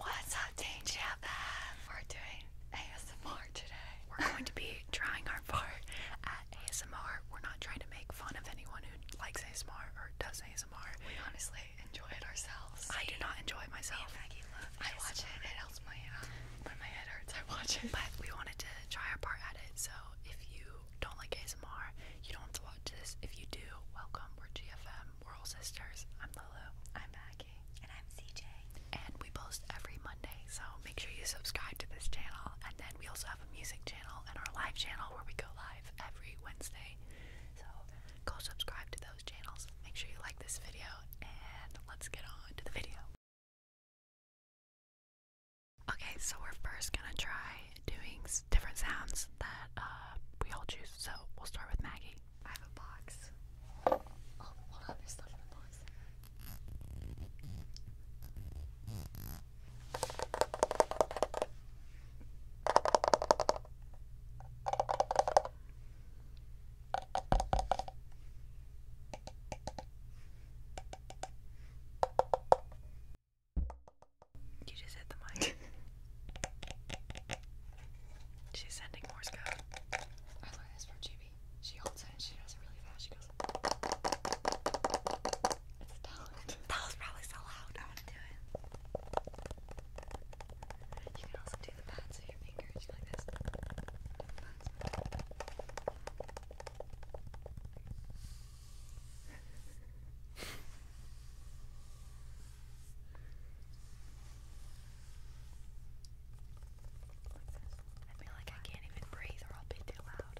What's up, Danger Band? We're doing ASMR today. We're going to be trying our part at ASMR. We're not trying to make fun of anyone who likes ASMR or does ASMR. We honestly enjoy it ourselves. I do not enjoy it myself. Me and Maggie I watch it. It helps my uh, when my head hurts. I watch it. But we wanted to try our part at it. So if you don't like ASMR, you don't have to watch this. If you do, welcome. We're GFM. We're all sisters. I'm Lulu. I'm Maggie. And I'm CJ. And we post every Monday, so make sure you subscribe to this channel. And then we also have a music channel and our live channel where we go live every Wednesday. So go subscribe to those channels. Make sure you like this video, and let's get on to the video. Okay, so we're first gonna try doing different sounds that uh, we all choose. So we'll start with Maggie. I have a box. Oh, hold on, there's stuff in the box. You just hit the mic. She's sending Morse code. I learned this from GB. She holds it and she does it really fast. She goes, It's a That was probably so loud. You can also do the pads of your fingers. You like this. What's I feel like I can't even breathe or I'll be too loud.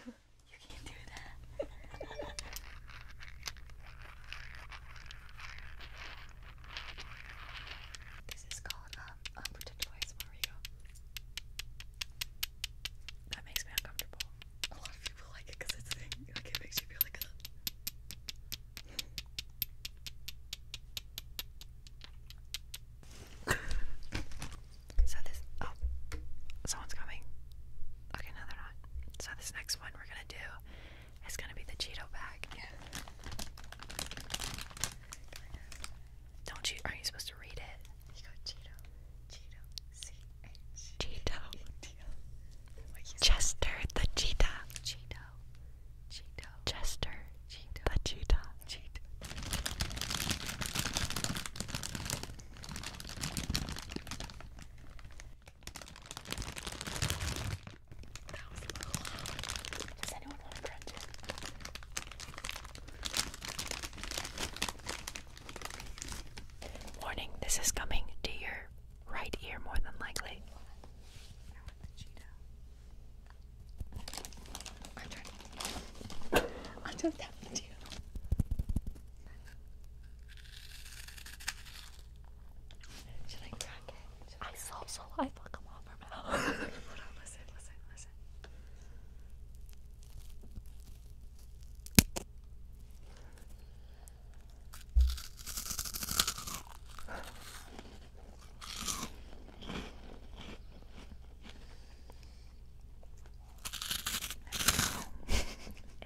you can't do that. This is called um, Unprotected Voice that makes me uncomfortable. A lot of people like it because it's like it makes you feel like so this oh someone's coming. Okay, no, they're not. So this next one we're gonna do is gonna be the Cheeto bag. Don't you? Aren't you supposed to read it? You go Cheeto, Cheeto, C H Cheeto, Chester the cheetah, Cheeto, Cheeto, Chester, Cheeto, the cheetah, Cheeto. Does anyone want to crunch it? Warning, this is coming to your right ear more than likely. I want the I'm trying to. i saw so I fuck them off her mouth. if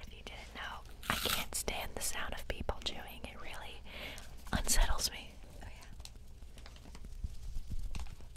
you didn't know, I can't stand the sound of people chewing. It really unsettles me. Oh,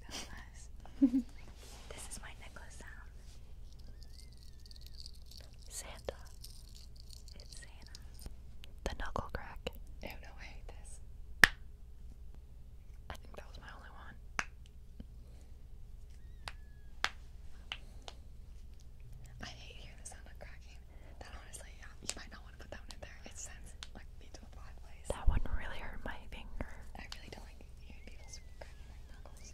That was this is my necklace sound. Santa. It's Santa. The knuckle crack. Oh no, I hate this. I think that was my only one. I hate hearing the sound of cracking. That honestly, yeah, you might not want to put that one in there. It sounds like me to a bad place. That one really hurt my finger. I really don't like hearing people cracking their knuckles.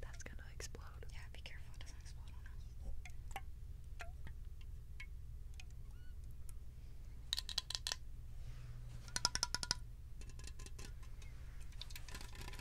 That's gonna explode. Yeah, be careful it doesn't explode on us.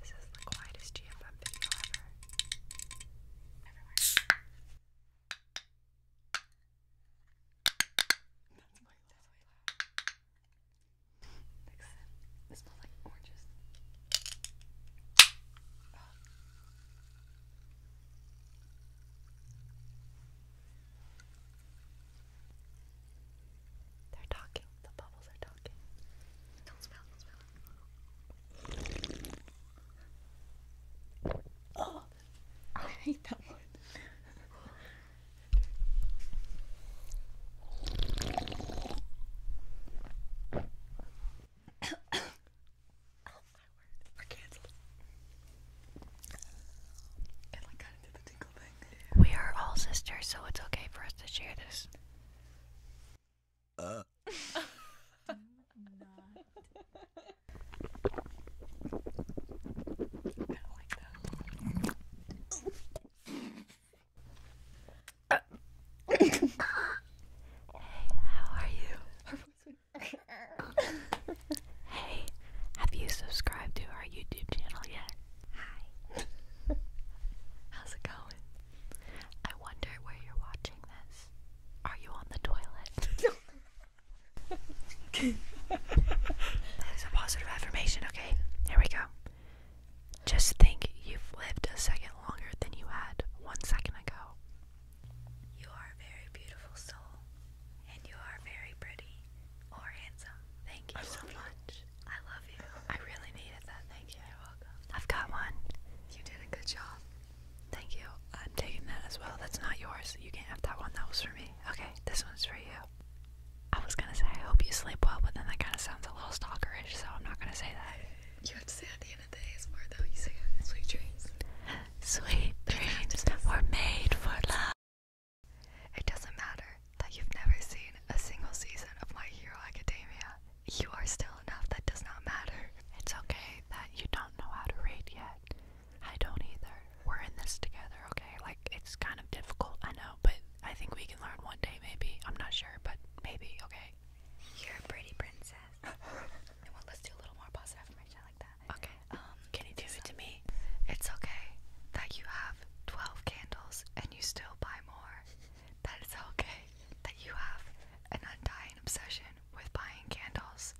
This is the quietest GFM video ever. Everywhere. That's way That's way loud. Next sip. smells like oranges. They're talking. The bubbles are talking. Don't smell, don't smell. Oh, I hate that one. oh my word, we're cancelled. We are all sisters, so it's okay for us to share this. Uh. How are you? hey, have you subscribed to our YouTube channel yet? Hi. How's it going? I wonder where you're watching this. Are you on the toilet? that is a positive affirmation, okay? Here we go. Just think you've lived a second longer than you had one second ago. You are a very beautiful soul, and you are very pretty or handsome. Thank you so much. I love you. I really needed that. Thank you. You're welcome. I've got one. You did a good job. Thank you. I'm taking that as well. That's not yours. You can't have that one. That was for me. Okay, this one's for you. I was gonna say I hope you sleep well, but then that kind of sounds a little stalkerish, so I'm not gonna say that. You have to say at the end of the day is more though. You say sweet dreams. Sweet dreams were made for love. It doesn't matter that you've never seen a single season of My Hero Academia, you are still enough. That does not matter. It's okay that you don't know how to read yet. I don't either. We're in this together, okay? Like, it's kind of difficult, I know, but I think we can learn one day, maybe. I'm not sure, but maybe, okay? You're a pretty princess. let's do a little more positive like that. Okay. Um, can you do it to me? It's okay that you have 12 candles and you still buy more that it's okay that you have an undying obsession with buying candles.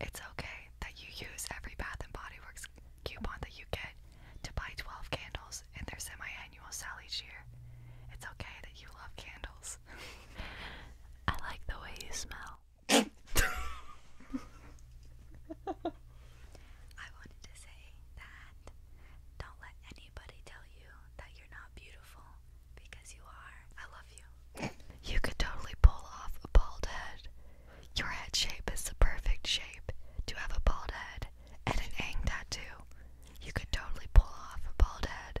It's okay that you use every Bath and Body Works coupon that you get to buy 12 candles in their semi-annual sale each year. It's okay that you love candles. I like the way you smell. I wanted to say that don't let anybody tell you that you're not beautiful because you are. I love you. you could totally pull off a bald head. Your head shape is the perfect shape to have a bald head and an ang tattoo. You could totally pull off a bald head.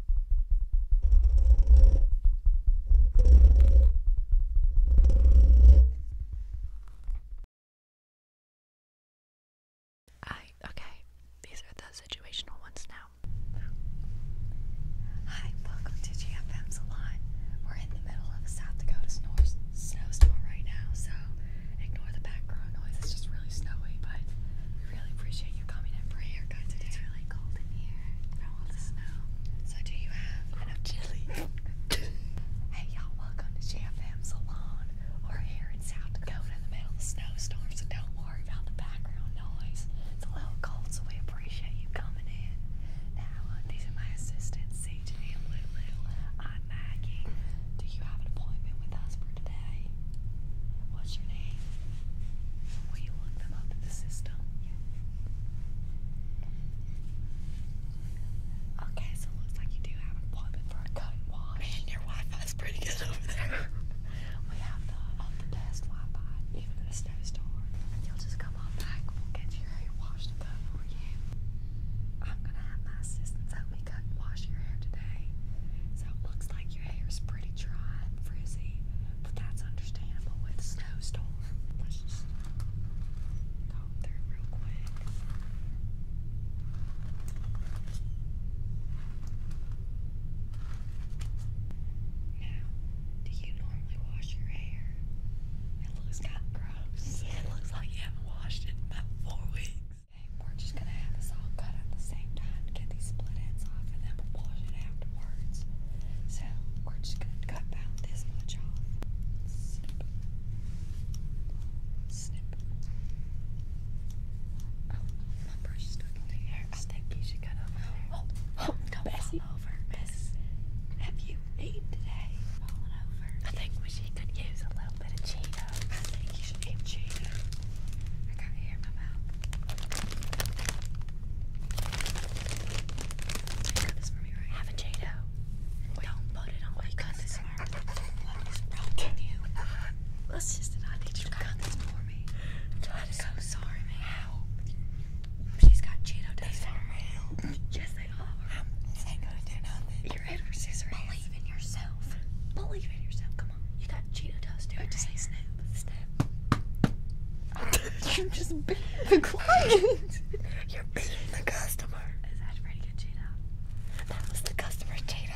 I okay, these are the situational ones now. Hi, welcome to GFM Salon. We're in the middle of a South Dakota snow snowstorm right now, so ignore the background noise. It's just really snowy, but we really appreciate you coming in for a haircut It's really cold in here. From all the snow. So do you have enough chili? hey y'all, welcome to JFM Salon. We're here in South Dakota in the middle of snowstorm, so don't worry about the background noise. It's a little cold, so we appreciate you coming in. Now, uh, these are my assistants, CJ and Lulu. I'm Maggie. Do you have an appointment with us for today? What's your name? where you them out of the system. Okay, so it looks like you do have an appointment for a cut and wash. Man, your Wi-Fi is pretty good over there. we have the, um, best Wi-Fi, even in a snowstorm. you'll just come on back, we'll get your hair washed and cut for you. I'm gonna have my assistants help me cut and wash your hair today. So it looks like pretty dry and frizzy, but that's understandable with a snowstorm. It looks like you haven't washed it in about four weeks. we're just gonna have this all cut at the same time to get these split ends off and then we'll wash it afterwards. So we're just gonna cut about this much off. Snip. Snip. Oh, my brush is stuck in there. I think you should cut over oh, oh, don't fall over, Miss. Have you eaten today? Falling over. I think we should use a little bit of Cheetos. I think you should eat Cheetos. I gotta hear my Got this for me, right? Have a Jado. And don't put it on my cousin's arm. What is wrong with you? Let's I need you cut this for me. I'm so sorry, man. She's got Jado dust on her Yes, they are. I'm, to do nothing. You're Believe in yourself. Believe in yourself. Come on. You got Cheeto dust. Do it. Just snap. Snap. You're just being the client. You're being the customer. Is that pretty good, Jada? That was the customer, Jada.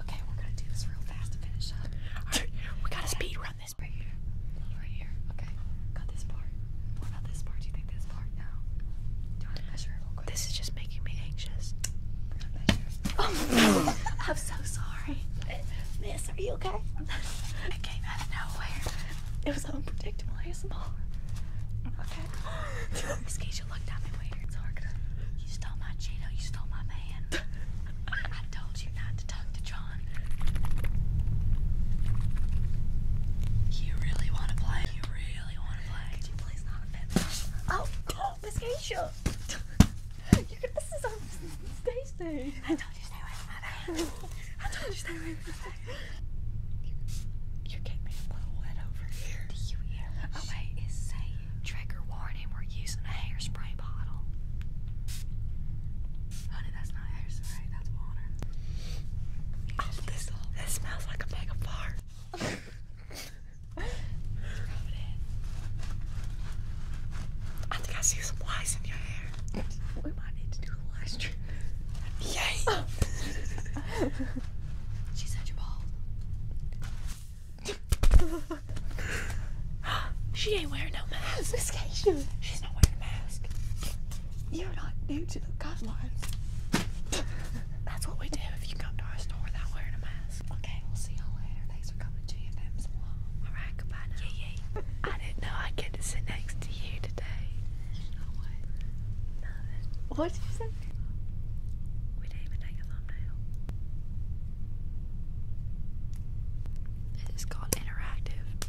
Okay, we're gonna do this real fast to finish up. we gotta speed run this right here. Right here. Okay. Got this part. What about this part? Do you think this part? No. Do you measure real quick? This is just making me anxious. I'm so sorry. Miss, are you okay? It came out of nowhere. It was unpredictable ASMR. Okay. Skeetia looked at me weird. It's you stole my Cheeto, you stole my man. I told you not to talk to John. You really want to play? You really want to play? Could you please oh, oh, Miss Keisha. I you are getting a little wet over here. Do you hear Oh wait, it say trigger warning. We're using a hairspray bottle. Honey, that's not hairspray. That's water. this, smells like a bag I think I see some flies in your hair we might need to do the last trip. Yay! She's such a she ain't wearing no mask. Miss Keisha. She's not wearing a mask. You're not new to the guidelines. That's what we do if you come to our store without wearing a mask. Okay, we'll see y'all later. Thanks for coming. I didn't know I'd get to sit next to you today. What did you say? We didn't even take a thumbnail. It's called interactive.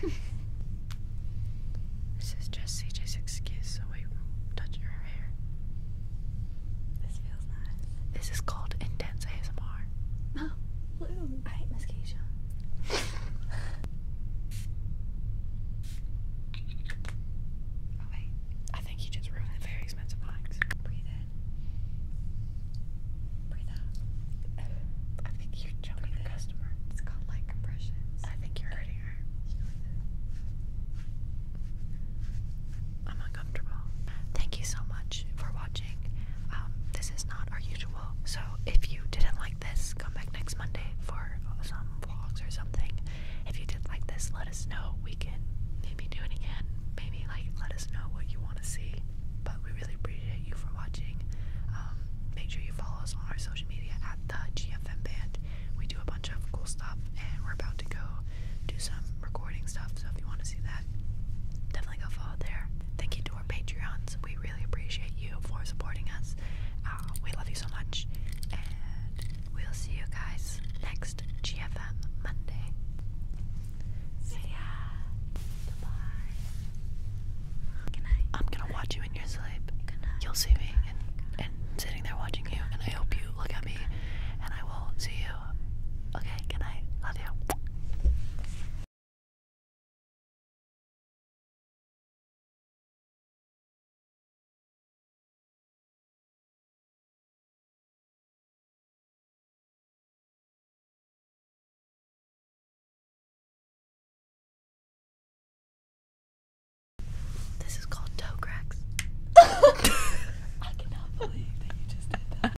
this is just CJ's excuse away from touching her hair. This feels nice. This is called intense ASMR. No. Oh bloom. Alright, Miss oh wait, I think you just ruined the very expensive wax. Breathe in. Breathe out. I think you're jumping the customer. It's called light compressions. I think you're hurting her. I'm not Thank you so much for watching. Um, this is not our usual, so if you didn't like this, come back next Monday for some vlogs or something. If you did like this, let us know. We can maybe do it again. Maybe like let us know what you want to see. But we really appreciate you for watching. Um, make sure you follow us on our social media at the GFM Band. We do a bunch of cool stuff, and we're about to go do some recording stuff. So if you want to see that, definitely go follow Thank you to our Patreons. We really appreciate you for supporting us. Uh, we love you so much. And we'll see you guys next GFM Monday. See ya. Goodbye. I'm gonna watch you in your sleep. Good You'll see me and sitting there watching you, and I hope you look at me, and I will see you Okay, good night. Love you. This is called toe cracks. I cannot believe that you just did that.